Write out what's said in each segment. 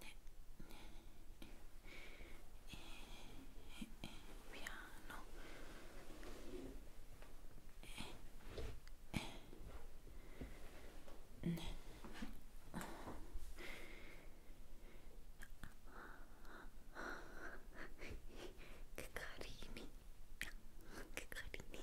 e, e, piano e, e, ne. che carini che carini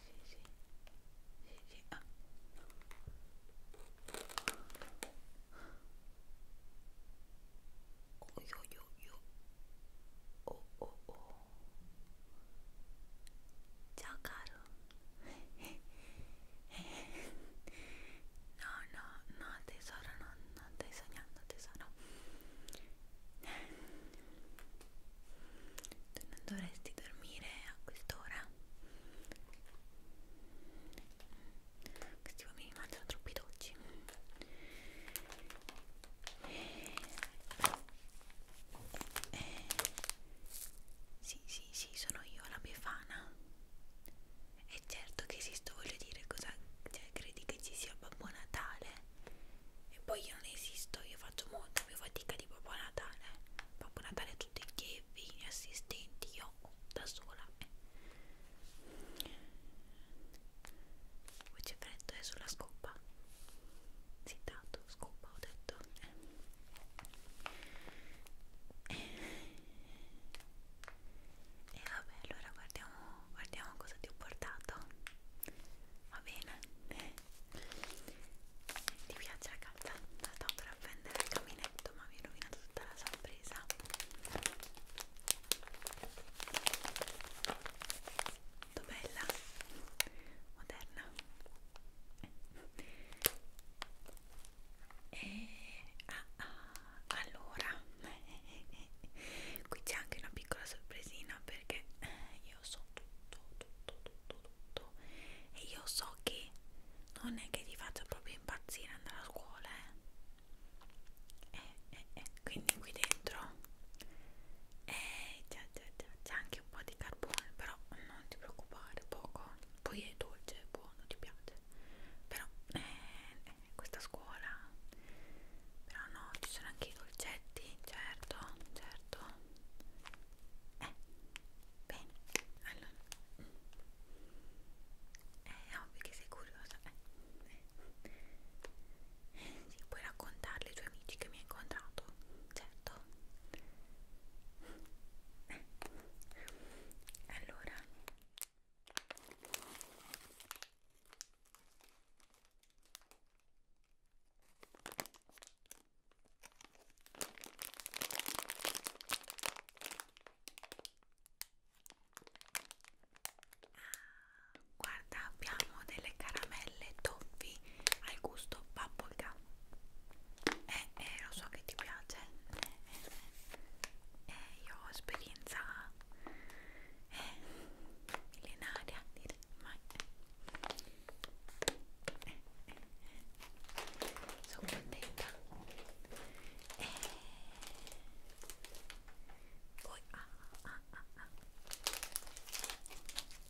sì, sì. Sì, sì. Ah. Oh, io, io, io. Oh, oh, oh. Ciao caro. No, no, no, tesoro, no, non stai sognando, tesoro. Tu non dovresti dormire a quest'ora questi bambini mangiano troppi dolci eh, sì sì sì sono io la befana e certo che esisto voglio dire cosa cioè, credi che ci sia Babbo Natale e poi io non esisto io faccio molta più fatica di Babbo Natale Babbo Natale è tutto il bevi assistenti io da sola poi c'è freddo è sulla scopa zittato scopa ho detto e eh, eh, vabbè allora guardiamo guardiamo cosa ti ho portato va bene ti piace la calza? Tanto dovrò prendere il caminetto, ma mi hai rovinato tutta la sorpresa. Molto bella, moderna. E eh, ah, ah, allora, qui c'è anche una piccola sorpresina perché io so tutto, tutto, tutto, tutto e io so che non è che ti faccia proprio impazzire andare a scuola eh, eh, eh, eh. quindi qui dentro eh, c'è anche un po' di carbone però non ti preoccupare poco poi è dolce, è buono, ti piace però eh, eh, questa scuola però no, ci sono anche i dolcetti certo, certo eh, Bene, allora eh, è ovvio che sei curiosa, eh. Eh. Sì, puoi raccontarle ai tuoi amici che mi hai incontrato, certo. Eh. Allora Ah, guarda, abbiamo delle caramelle toffi al gusto paprika. Eh, eh, lo so che ti piace. Eh, eh, eh. eh io ho esperienza eh, millenaria, direi mai. Eh sono contenta e eh. poi ah, ah, ah, ah. ah.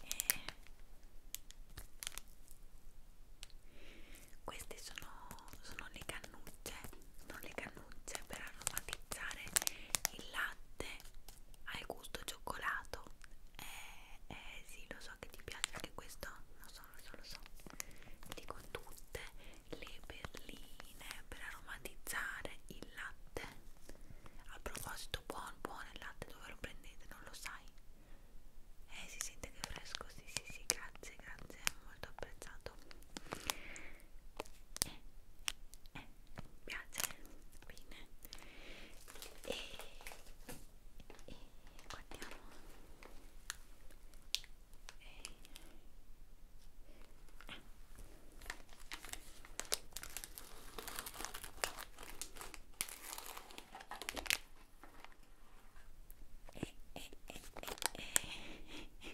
E... Eh. queste sono, sono le cannucce sono le cannucce per aromatizzare il latte al gusto cioccolato eh, eh sì, lo so che ti piace anche questo, lo so, lo so, lo so. Ti dico tutte le perline per aromatizzare il latte. A proposito, buon buon il latte, dove lo prendete? Non lo sai? Eh, si sente che è fresco, sì, sì, sì, grazie, grazie, molto apprezzato. Eh, eh, eh piace, bene. E e guardiamo e... Ah. E, e, e, e, e. E.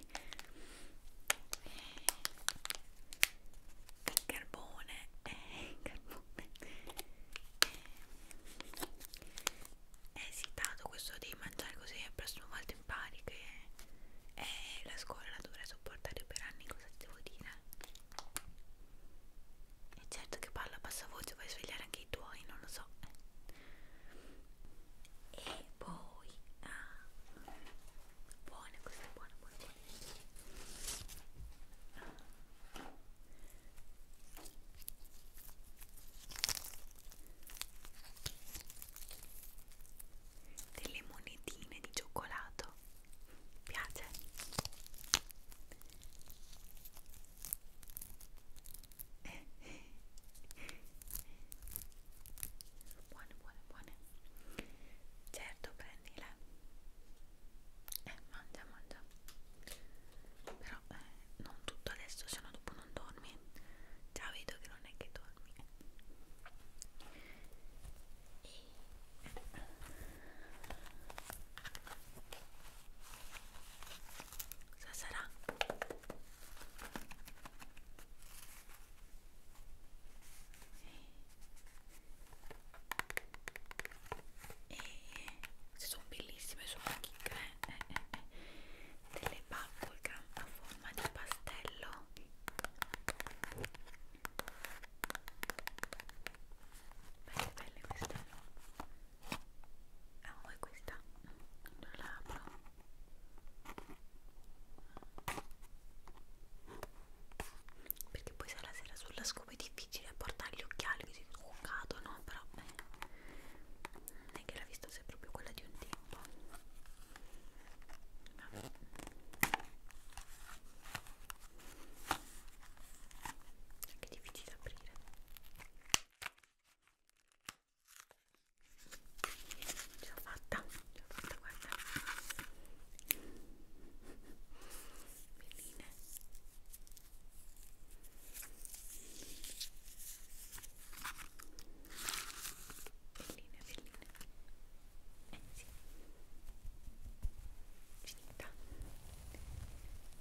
Carbone, eh, carbone nome eh, è esitato questo devi mangiare così la prossima volta impari che è la scuola la dovrai sopportare per anni cosa ti devo dire e certo che parla a bassa voce vai a svegliare anche i tuoi non lo so e poi ah, buona questa è buona buona, buona. Ah delle monetine di cioccolato piace buone buone buone certo prendila eh mangia mangia però eh, non tutto adesso se no dopo non dormi già vedo che non è che dormi e... cosa sarà? E e se sono bellissime sono chicche eh, eh, eh. delle bubblegum a forma di pastello belle belle queste ah oh, e questa non la apro perché poi se la sera sulla scoperta poi è difficile portare gli occhiali così non cadono, però beh, non è che la vista sia proprio quella di un tempo. Vabbè. È anche difficile aprire. Ce l'ho fatta, ce l'ho fatta, guarda. Belline belline belline eh sì finita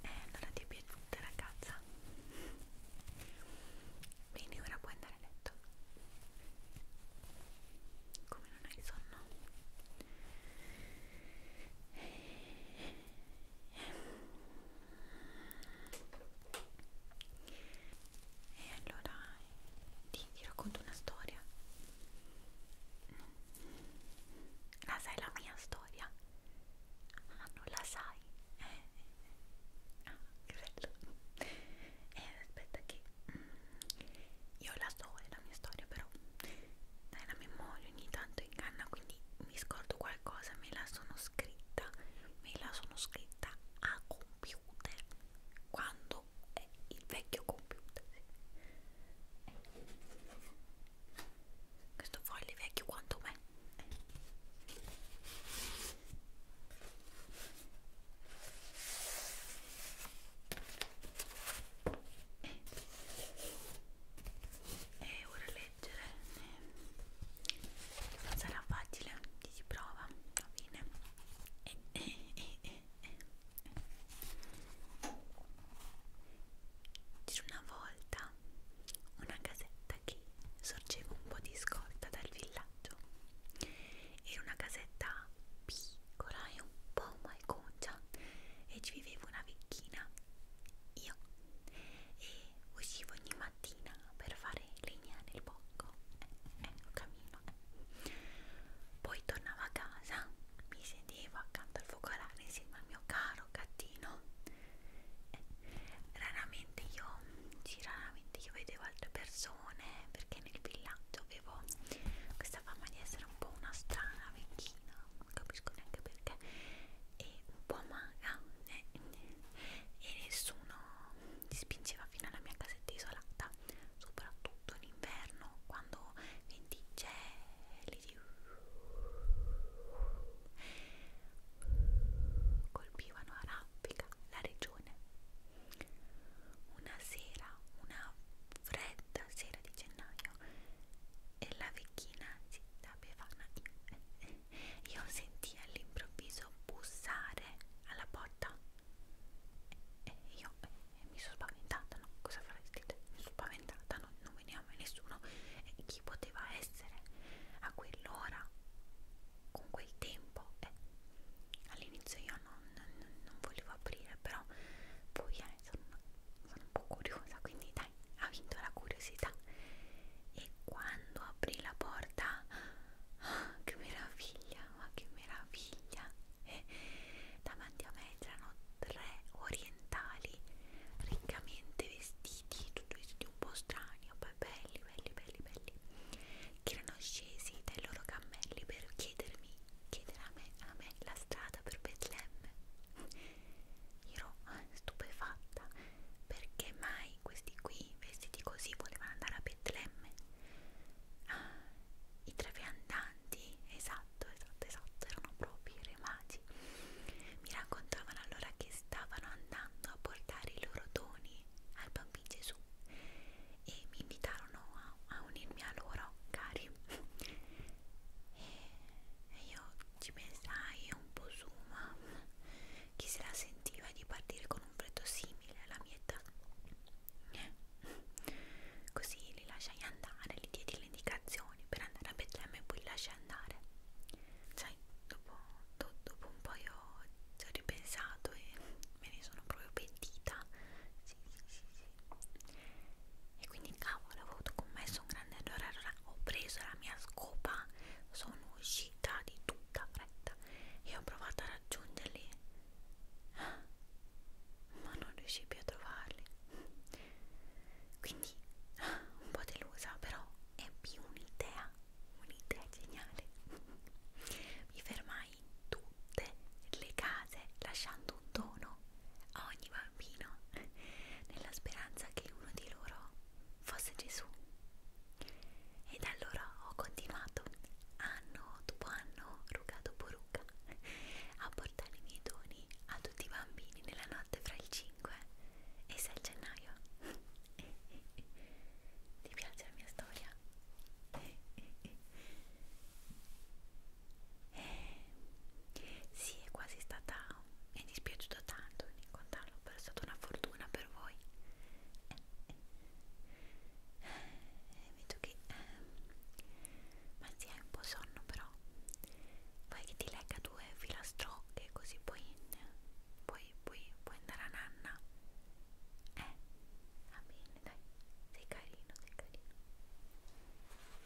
eh allora ti è piaciuta ragazza bene ora puoi andare a letto come non hai sonno eh, e allora ti, ti racconto una storia. La sai la mia storia? Ah, non la sai? Eh. eh, eh. Ah, che bello. Eh, aspetta che mm, io ho la storia, la mia storia però è la memoria l'olio ogni tanto in canna quindi mi scordo qualcosa me la sono scritta me la sono scritta a computer quando è il vecchio computer questo foglio è vecchio quanto me e ora leggere non ehm, sarà facile ti si prova alla fine e, e, e, e, e. c'era una volta una casetta che sorgeva un po' di scorta dal villaggio era una casetta piccola e un po' malconcia e ci viveva una vecchina io e uscivo ogni mattina per fare legna nel bocco eh, eh, camino eh. poi tornavo a casa mi sedevo accanto al focolare insieme al mio caro gattino eh, raramente io sì, raramente io vedevo altre persone perché nel villaggio avevo questa fama di essere un po' una strana vecchia Cina, non capisco neanche perché, e un po' maga, eh, eh, e nessuno si spingeva fino alla mia casetta isolata, soprattutto in inverno, quando venti gelidi colpivano a raffica la regione. Una sera, una fredda sera di gennaio, vero e la vecchina si da bevana io sentii all'improvviso bussare alla porta e io e mi sono spaventata no? cosa faresti te? mi sono spaventata no? non veniva mai nessuno e chi poteva essere a quell'ora con quel tempo eh, all'inizio io non, non, non volevo aprire però poi eh, sono, sono un po' curiosa quindi dai, ha vinto la curiosità. E quando aprì la porta, oh, che meraviglia, ma che meraviglia! Eh, davanti a me c'erano tre orientali riccamente vestiti, tutti vestiti un po' strani, poi belli, belli, belli, belli, che erano scesi dai loro cammelli per chiedermi, chiedere a me, a me la strada per Betlemme. Ero stupefatta perché mai questi qui vestiti così volevano andare a Betlemme. Ah, I trafiandanti, esatto, esatto, esatto, erano proprio i re magi. Mi raccontavano allora che stavano andando a portare i loro doni al bambino Gesù e mi invitarono a, a unirmi a loro, cari. E, e io ci pensai e un po' suma. Chi se la sentiva di partire con un freddo simile alla mia età? Eh. Così li lasciai andare, gli diedi le indicazioni per andare a Betlemme e poi li lasciai andare. Sai, dopo, do, dopo un po' io ci ho ripensato e me ne sono proprio pentita. Sì, sì, sì, sì e quindi cavolo avevo commesso un grande errore allora ho preso la mia scopa sono uscita di tutta fretta e ho provato a raggiungerli ma non riuscii più a trovarli quindi un po' delusa però ebbi un'idea un'idea geniale mi fermai in tutte le case lasciando un dono a ogni bambino nella speranza che uno di loro fosse Gesù. E da allora ho continuato anno dopo anno, ruga dopo ruga, a portare i miei doni a tutti i bambini nella notte fra il 5 e 6 gennaio. Ti piace la mia storia? Eh, sì, è quasi stata. Mi è dispiaciuto tanto incontrarlo, però è stata una fortuna per voi. Eh, eh. Eh, vedo che. Eh, ma si sì, hai un po' sonno, però. Vuoi che ti legga due filastrocche, così poi. Puoi, puoi, puoi andare a nanna? Eh, va bene, dai, sei carino, sei carino.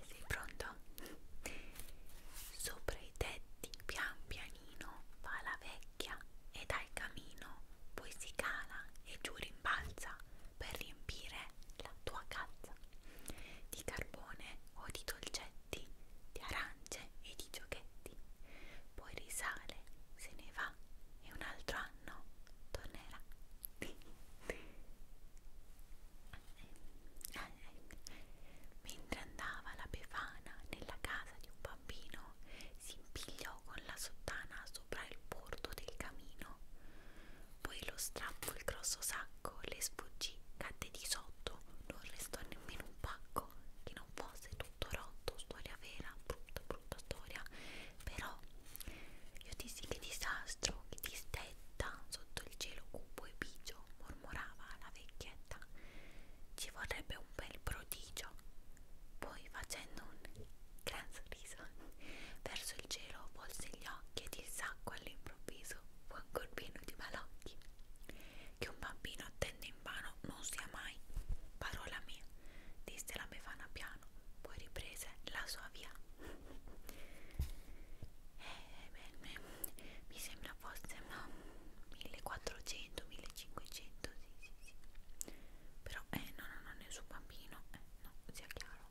E sei pronto? Sopra i tetti pian pianino va la vecchia e dal camino poi si cala e giù rimbalza per riempire la tua calza di carbone o di dolcetti, di arance e di giochetti. Poi risale, se ne va e un altro anno tornerà mentre andava la Befana nella casa di un bambino si impigliò con la sottana sopra il bordo del camino poi lo strappo il grosso sacco le sfuggì cadde di sotto non restò nemmeno un pacco che non fosse tutto rotto storia vera brutta brutta storia però io dissi che disastro, che distetta sotto il cielo cupo e bigio, mormorava la vecchietta, ci vorrebbe un bel prodigio. Poi facendo un gran sorriso verso il cielo volse gli occhi ed il sacco all'improvviso fu ancor pieno di malocchi. Che un bambino attende in vano non sia mai, parola mia, disse la befana piano poi riprese la sua via eh, beh, mi sembra fosse no, 1400 1500 sì, sì, sì. però eh no no no nessun bambino eh, no sia chiaro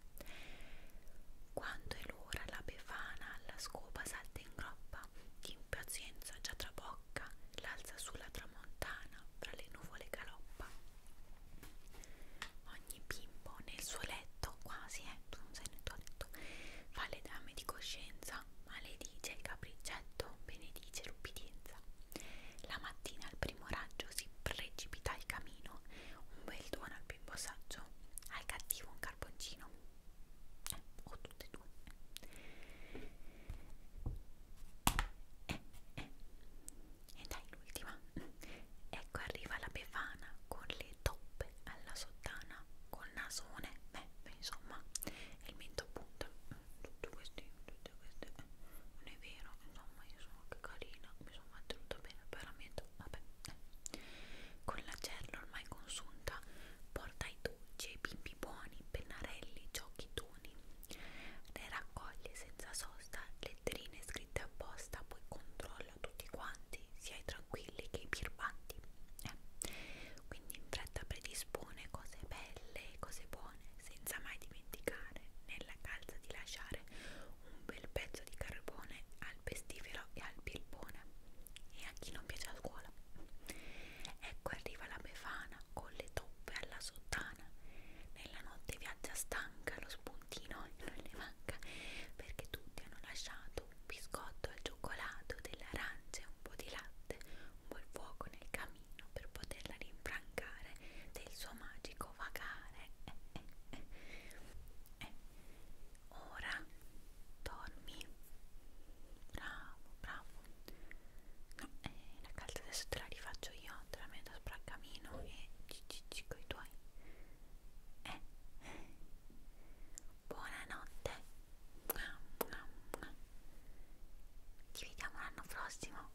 quando è l'ora la befana alla scopa salta in groppa di impazienza già trabocca l'alza sulla tramontana fra le nuvole galoppa Ogni bimbo nel suo letto, quasi, eh, tu non sei nel tuo letto, fa le dame di coscienza, maledice il capricetto, benedice l'ubbidienza. La mattina al primo raggio si precipita il camino, un bel dono al bimbo saggio, al cattivo un carboncino. Eh, o tutte e due. Eh, eh. E dai l'ultima. Ecco arriva la befana con le toppe alla sottana, col nasone, beh, beh insomma, e il mento a punta. Mm, tutte queste, tutte queste, eh, non è vero, insomma, io sono anche carina, mi sono mantenuta bene, veramente, vabbè. Con la gerla ormai consunta, porta i dolci ai bimbi buoni, pennarelli, giochi toni. Le raccoglie senza sosta le letterine scritte apposta, poi controlla tutti quanti, sia i tranquilli che i birbanti. Eh. Quindi in fretta predispone cose belle, cose buone, senza mai dimenticare nella calza di lasciare un bel pezzo di carbone al pestifero e al bilbone e a chi non piace a scuola. Ecco arriva la befana con le toppe alla sottana. Nella notte viaggia stanca lo spuntino non le manca perché tutti hanno lasciato un biscotto al cioccolato, delle arance, un po' di latte, un po' il fuoco nel camino per poterla rinfrancare del suo magico vagare. Eh, eh, eh. Eh. Ora dormi. Bravo, bravo. No, eh, la calza adesso te la rifaccio io, te la metto sopra il camino e cicicci coi tuoi eh. buonanotte ci vediamo l'anno prossimo